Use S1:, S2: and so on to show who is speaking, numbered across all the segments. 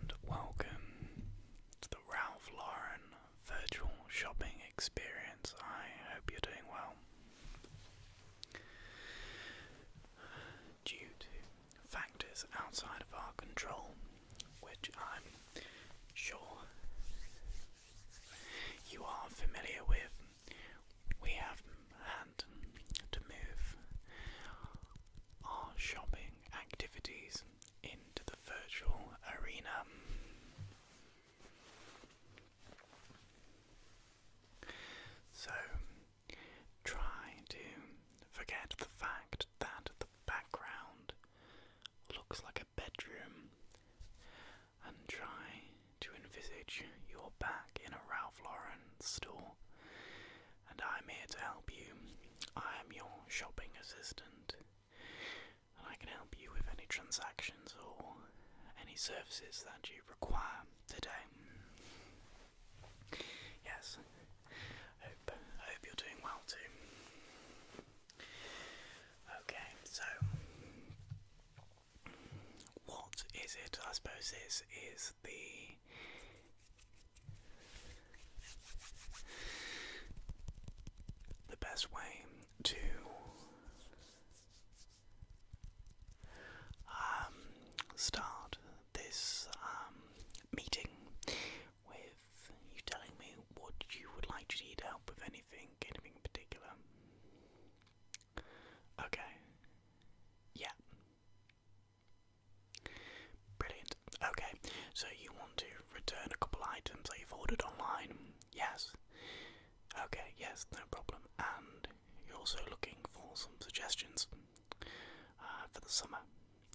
S1: and welcome to the Ralph Lauren virtual shopping experience. I hope you're doing well. Due to factors outside of our control, which I'm sure you are familiar with, we have had to move our shopping activities into the virtual arena. So, try to forget the fact that the background looks like a bedroom and try to envisage your back in a Ralph Lauren store and I'm here to help you. I am your shopping assistant, and I can help you with any transactions or any services that you require today. Yes, I hope, you're doing well too. Okay, so what is it? I suppose this is the the best way to um, start this um, meeting with you telling me what you would like to help with anything, anything particular. Okay. Yeah. Brilliant. Okay, so you want to return a couple items that you've ordered online? Yes. Okay, yes, no problem. And you're also looking for some suggestions uh, for the summer?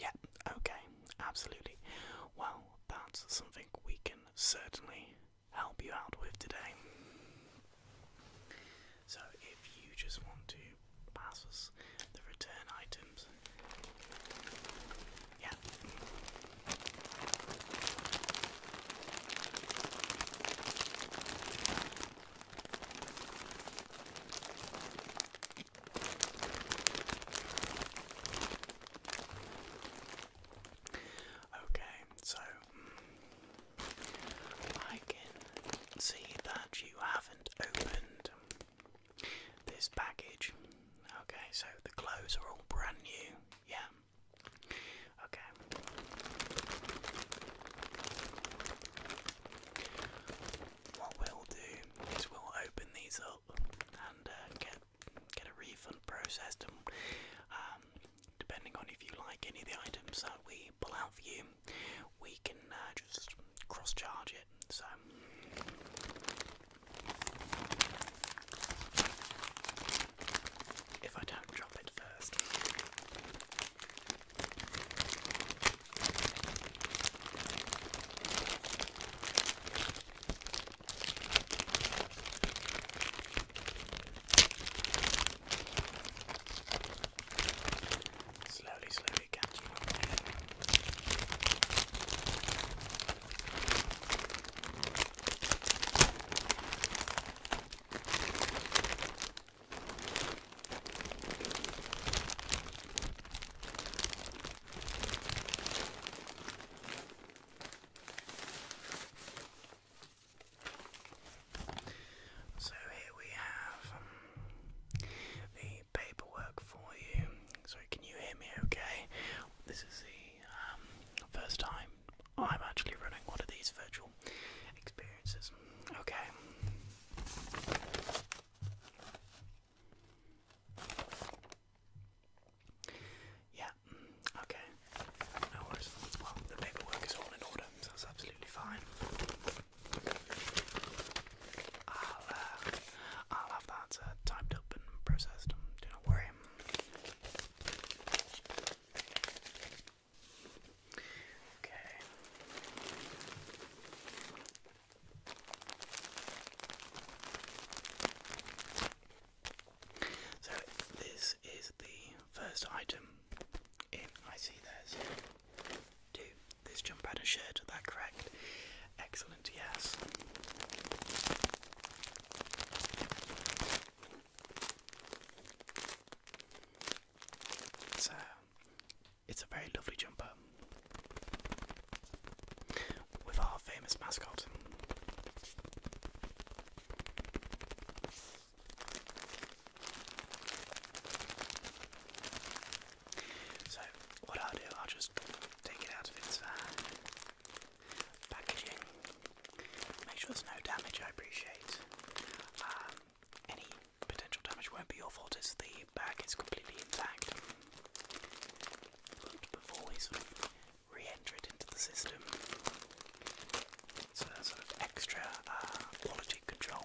S1: Yeah, okay, absolutely. Well, that's something we can certainly help you out with today. So, if you just want to pass us the return items. Yeah. Okay, so mm, I can see that you haven't opened this package. Okay, so the clothes are all brand new. Yeah. Okay. What we'll do is we'll open these up and uh, get get a refund processed, and um, depending on if you like any of the items that we pull out for you, we can uh, just cross charge it. So if I don't drop it first slowly, slowly catching up on So here we have um, the paperwork for you. Sorry, can you hear me okay? This is the um, first time I'm actually running one of these virtual experiences. Okay. Yeah, okay. No worries. Well, the paperwork is all in order, that's absolutely fine. I'll, I'll have that typed up and processed. Do not worry. Okay. So this is the first item in I see there's two, this jumper had a that correct? Excellent, yes. So, it's a very lovely jumper with our famous mascot. So what I'll do, I'll just take it out of its uh, packaging. Make sure there's no damage. I appreciate. Um, any potential damage won't be your fault as the bag is completely intact. before we sort of re-enter it into the system, it's sort of extra uh, quality control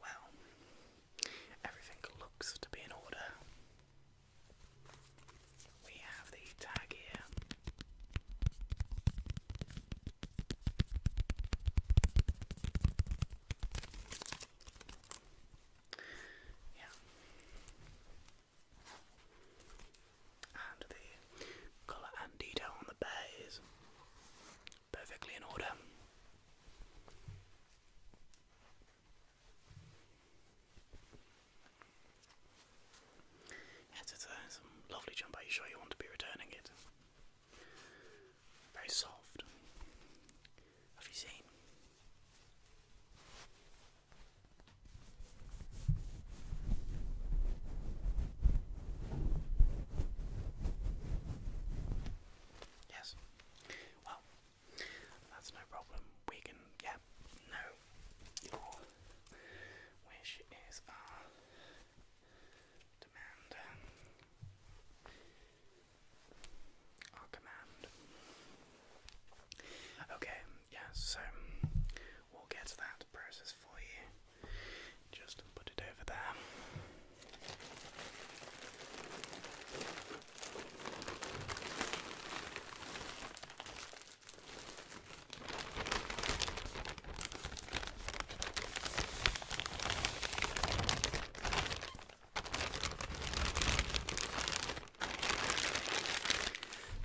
S1: Well, everything looks to be in order. We have the tag here. Yeah. And the colour and on the bear perfectly in order. Yes, a lovely jumper. Are you sure you want to be returning it? Very soft. Have you seen? Yes. Well, that's no problem. We can, yeah, no. Your wish is our uh, demand. Our command. Okay, yes, so we'll get that process for you. Just put it over there.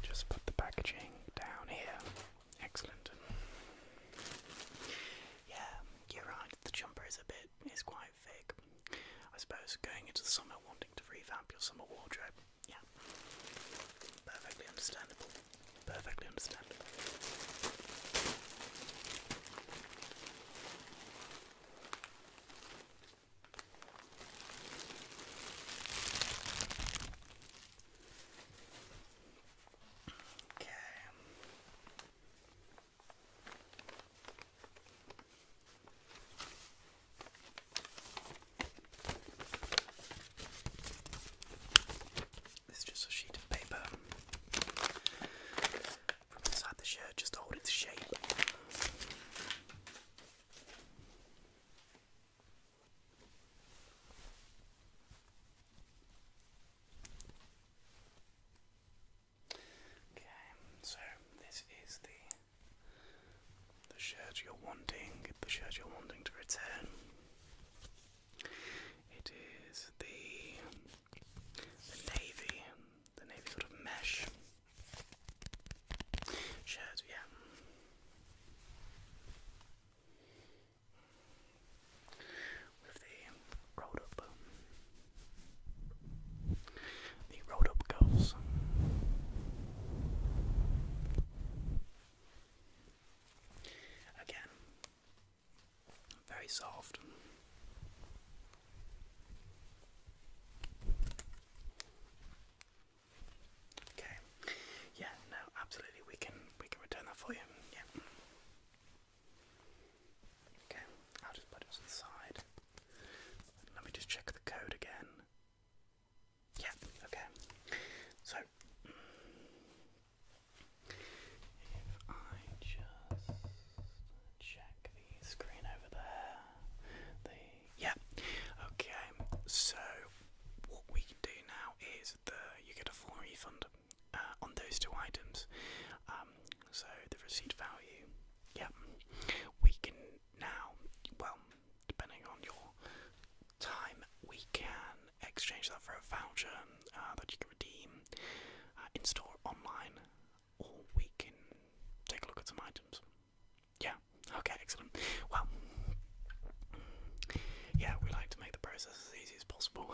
S1: Just put the packaging down here. Excellent. Yeah, you're right, the jumper is a bit, is quite thick. I suppose going into the summer wanting to revamp your summer wardrobe, yeah. Perfectly understandable. Perfectly understandable. Okay. This is just a sheet of paper from inside the shirt, just to hold its shape. Okay, so this is the the shirt you're wanting, the shirt you're wanting to return. It is the the navy, the navy sort of mesh shirt, yeah the rolled up, um, the rolled up girls. Again, very soft. Okay, yeah, no, absolutely we can we can return that for you. Yeah. Okay, I'll just put it to Let me just check the code again. Yeah, okay. So if I just check the screen over there. The yeah. Okay. So what we do now is the you get a full refund. Uh, on those two items. Um, so the receipt value, yeah, we can now, well, depending on your time, we can exchange that for a voucher uh, that you can redeem uh, in store online, or we can take a look at some items. Yeah, okay, excellent. Well, yeah, we like to make the process as easy as possible.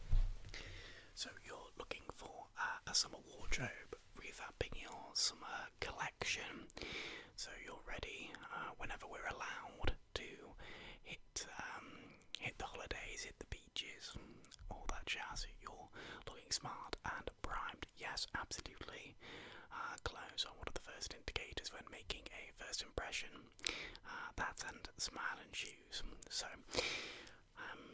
S1: so you're looking for a summer wardrobe, revamping your summer collection, so you're ready uh, whenever we're allowed to hit um, hit the holidays, hit the beaches, all that jazz. You're looking smart and primed. Yes, absolutely. Uh, clothes are one of the first indicators when making a first impression. Ah, that and Smile and Shoes. So, um,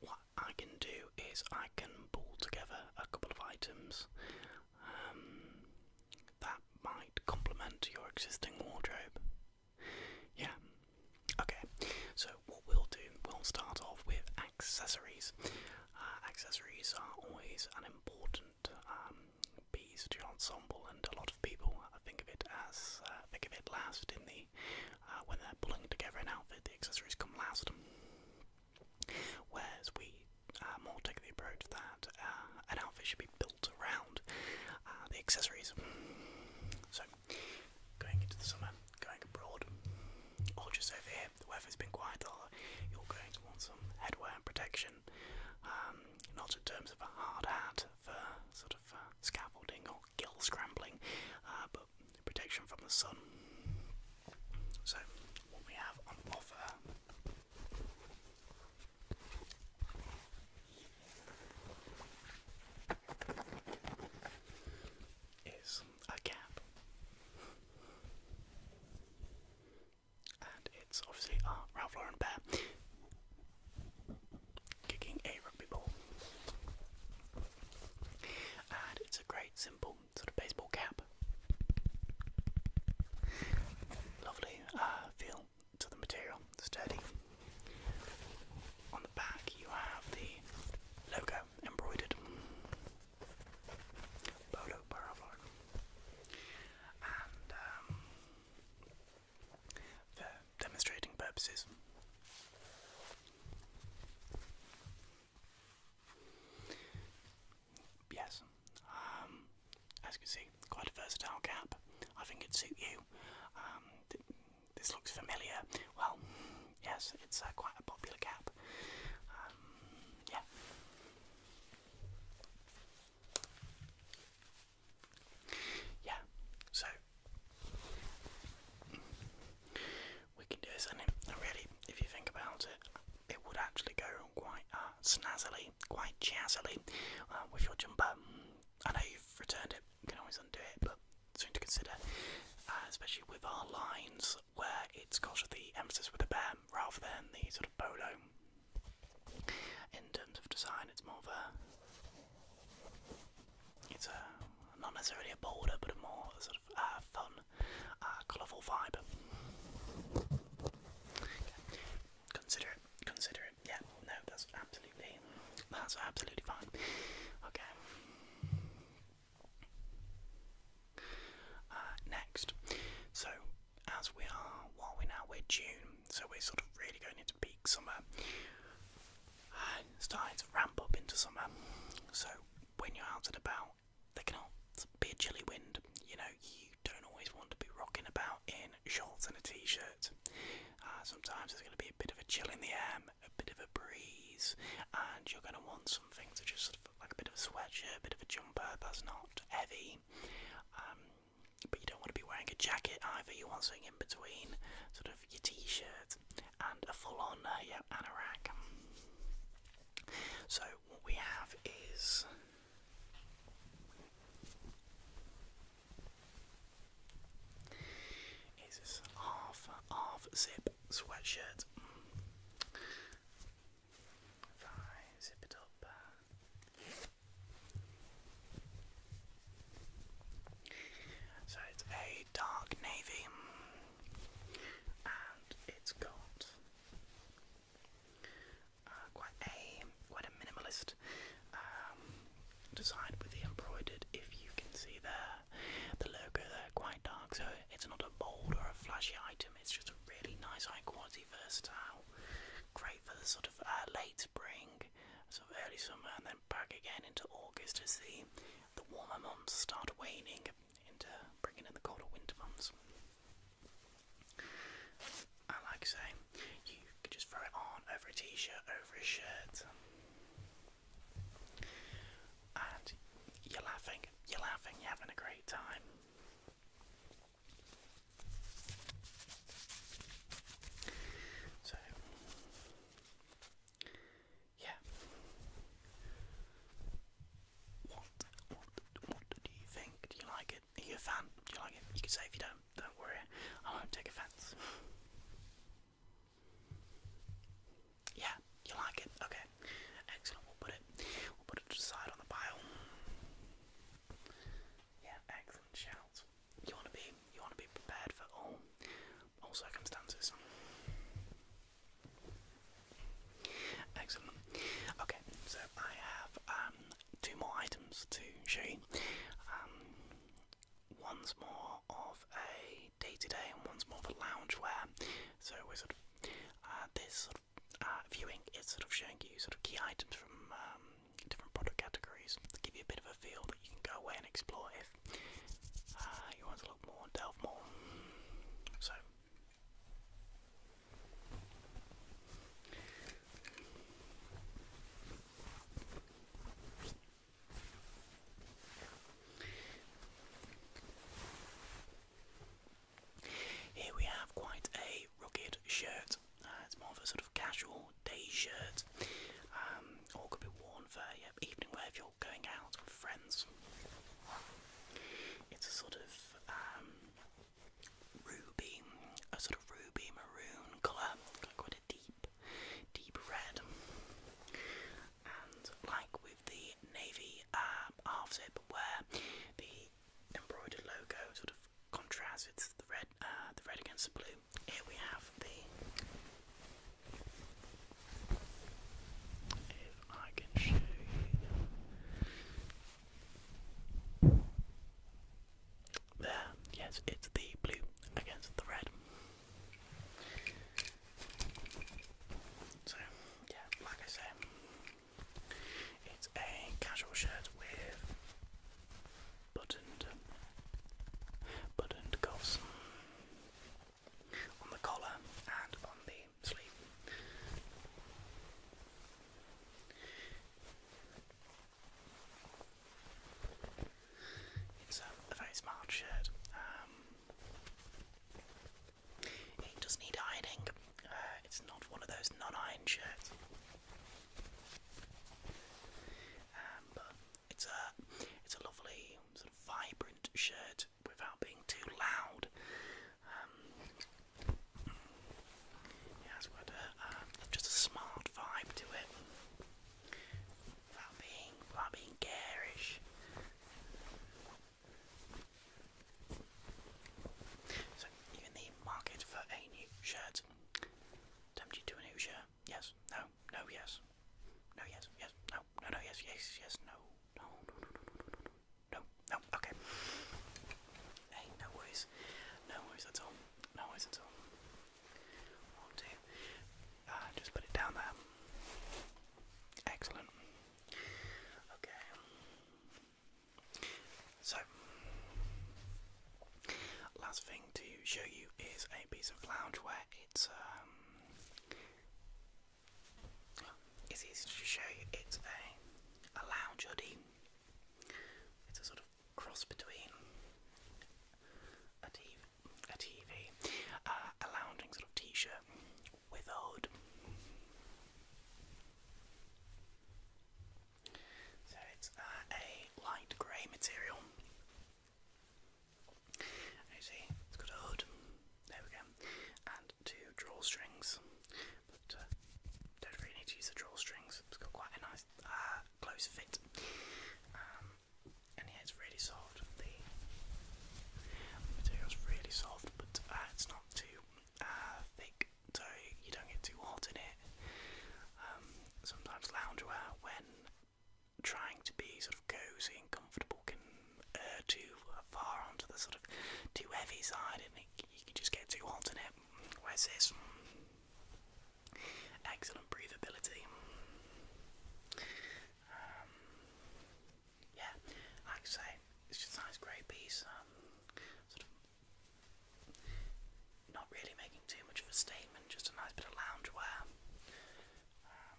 S1: what I can do is I can pull together a couple of items um, that might complement your existing wardrobe. Yeah. Okay, so what we'll do, we'll start off with accessories. Ah, accessories are always unimportant different to your ensemble, and a lot of people uh, think of it as uh, think of it last in the uh, when they're pulling together an outfit. The accessories come last, whereas we more take the approach that an outfit should be built around uh, the accessories. So, going into the summer, going abroad, or just over here, the weather's been quite a lot. You're going to want some headwear and protection. Um, not in terms of a hard hat for sort of uh, scaffolding or gill scrambling, uh, but protection from the sun. So, what we have on offer. Is a cap and it's obviously uh, Ralph Lauren bear kicking a rugby ball. And it's a great, simple sort of baseball cap. Lovely uh, feel to the material, sturdy. On the back, you have the logo embroidered. Polo Paravarn. Um, for demonstrating purposes. Yes, um, as you can see, quite a versatile cap. I think it'd suit you. Um, this looks familiar. Well, yes, it's uh, quite a popular cap. yeah. Yeah, so we can do this, and really, if you think about it, it would actually go on quite uh, snazzily, quite jazzily uh, with your jumper. I know you've returned it, you can always undo it, but something to consider, uh, especially with our lines where it's got the emphasis with the bam rather than the sort of polo. In terms of design, it's more of a. It's a not necessarily a bolder, but a more sort of uh, fun, uh, colourful vibe. Consider it. Consider it. Yeah. No, that's absolutely. That's absolutely fine. Okay. Uh, next, so as we are while we're now we're June, so we're sort of really going into peak summer, uh, starting to ramp up into summer. So when you're out and about, there can be a chilly wind. You know, you don't always want to be rocking about in shorts and a t-shirt. Uh, sometimes there's going to be a bit of a chill in the air, a bit of a breeze, and you're going to want something to just sort of like a bit of a sweatshirt, a bit of a jumper that's not heavy. Um, but you don't want to be wearing a jacket either. You want something in between, sort of your t-shirt and a full-on uh, anorak. So what we have is. Is this half half zip sweatshirt? if zip it up, so it's a dark navy, and it's got uh, quite a quite a minimalist um, design with the embroidered. If you can see there, the logo there quite dark, so it's not a bold or a flashy item. It's just a really nice, high quality, versatile grey for the sort of uh, late spring, sort of early summer, and then back again into August to see the warmer months start waning into bringing in the colder winter months. And like I say, you could just throw it on over a t-shirt, over a shirt, and you're laughing, you're laughing, you're having a great time. So, yeah. What, what, what do you think? Do you like it? Are you a fan? Do you like it? You can say if you don't, don't worry. I won't take offense. Yeah, you like it? Okay. Excellent. We'll put it we'll put it to on the pile. Yeah, excellent shout. You want to be you want to be prepared for all all circumstances. Excellent. Okay, so I have um, two more items to show you. Um, one's more of a day-to-day, and one's more of a loungewear. So we sort of uh, this sort of uh, viewing is sort of showing you sort of key items from um, different product categories to give you a bit of a feel that you can go away and explore if uh, you want to look more and delve more. So. Here we have quite a rugged shirt. Uh, it's more of a sort of casual day shirt, or um, could be worn for yeah, evening wear if you're going out with friends. It's a sort of um, ruby, a sort of ruby maroon colour, quite a deep, deep red. And like with the navy uh, half zip, where the embroidered logo sort of contrast. It's the red, uh, the red against the blue. Here we have the. If I can show you. There, yes, it's the blue against the red. So, yeah, like I say, it's a casual shirt with buttoned buttoned cuffs on the collar and on the sleeve. It's a, very smart shirt. Um, it does need hiding. it's not one of those non-iron shirts. Um, but it's a it's a lovely sort of vibrant shirt without being too loud. Um, it has just a smart vibe to it, without being without being garish. So, even the market for a new shirt. Tempt you to a new shirt? Yes, no, no, yes. No, yes, yes, no, no, no, yes, yes, yes, no, no, no, no, no, no, no, no, okay. Hey, no worries. No worries at all. No worries at all. One, two. Uh, just put it down there. Excellent. Okay. So, last thing to show you is a piece of loungewear. It's um, it's easy to show you. It's a a lounge hoodie. It's a sort of cross between a TV, uh, a lounging sort of t-shirt with a hood. So it's uh, a light grey material. you see, it's got a hood. There we And two drawstrings. But uh, don't really need to use the drawstrings. It's got quite a nice uh, close fit. Um, and yeah, it's really soft. The material's really soft, but it's not too thick so you don't get too hot in it. Um, sometimes loungewear, when trying to be sort of cozy and comfortable, can err too far onto the sort of too heavy side, and you can just get too hot in it. Whereas this, excellent breathability. Um, yeah, like I say, it's just a nice grey piece. Um, not really making too much of a statement, just a nice bit of loungewear. Um,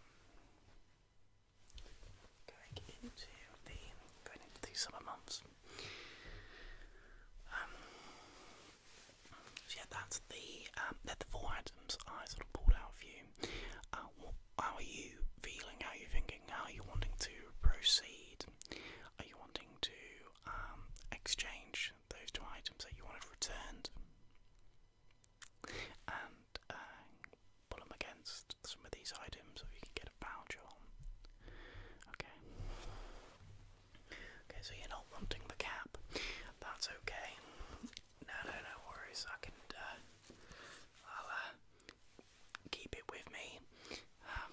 S1: going into the going into the summer months. Um, yeah, that's the um, the four items I sort of pulled out for you. Uh, how are you feeling? How are you thinking? How are you wanting to proceed? Are you wanting to um, exchange those two items that you wanted returned and uh, put them against some of these items so you can get a voucher Okay. Okay, so you're not wanting the cap. That's okay. No, no, no worries. I can. Uh, I'll uh, keep it with me. Um,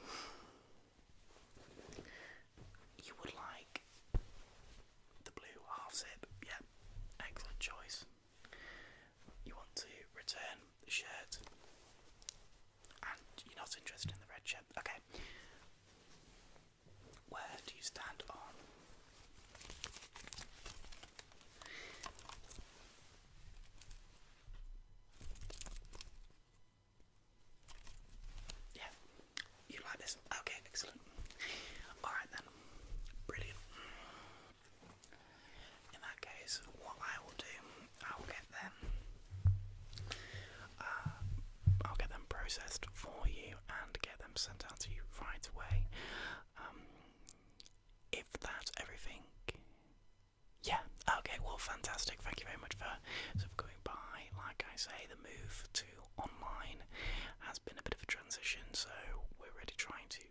S1: you would like the blue half zip, yeah, excellent choice. You want to return the shirt, and you're not interested in the red shirt, okay. Where do you stand on? Yeah, you like this? Okay, excellent. Alright then, brilliant. In that case, what I will do, I will get them, uh, I'll get them processed for you and get them sent out to you right away. Um, if that's everything, yeah, okay, well, fantastic. Thank you very much for sort of going by. Like I say, the move to online has been a bit of a transition, so we're really trying to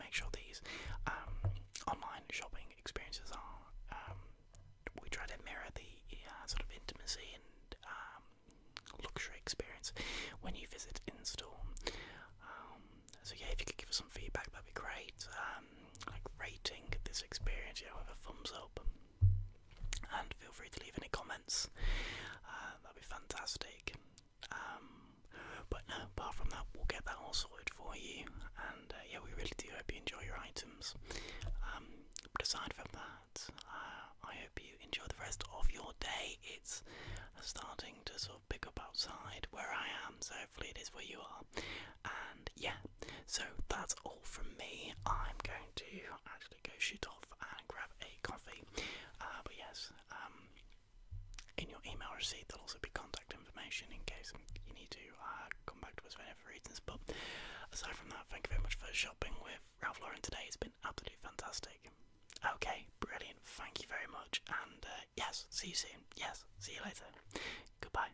S1: make sure these um, online shopping experiences are. Um, we try to mirror the uh, sort of intimacy and um, luxury experience when you visit in store. so yeah, if you could give us some feedback, that'd be great like rating this experience, you know, a thumbs up, and feel free to leave any comments. Uh, that'd be fantastic. Um, but no, apart from that, we'll get that all sorted for you. And uh, yeah, we really do hope you enjoy your items. but um, aside from that, uh, I hope you enjoy the rest of your day. It's starting to sort of pick up outside where I am, so hopefully it is where you are. And yeah, so that's all from me. I'm going to actually go shoot off and grab a coffee. Uh, but yes, um, in your email receipt, there'll also be contact information in case you need to uh, come back to us for any reasons. But aside from that, thank you very much for shopping with Ralph Lauren today. It's been absolutely fantastic. Okay, brilliant. Thank you very much. And uh, yes, see you soon. Yes, see you later. Goodbye.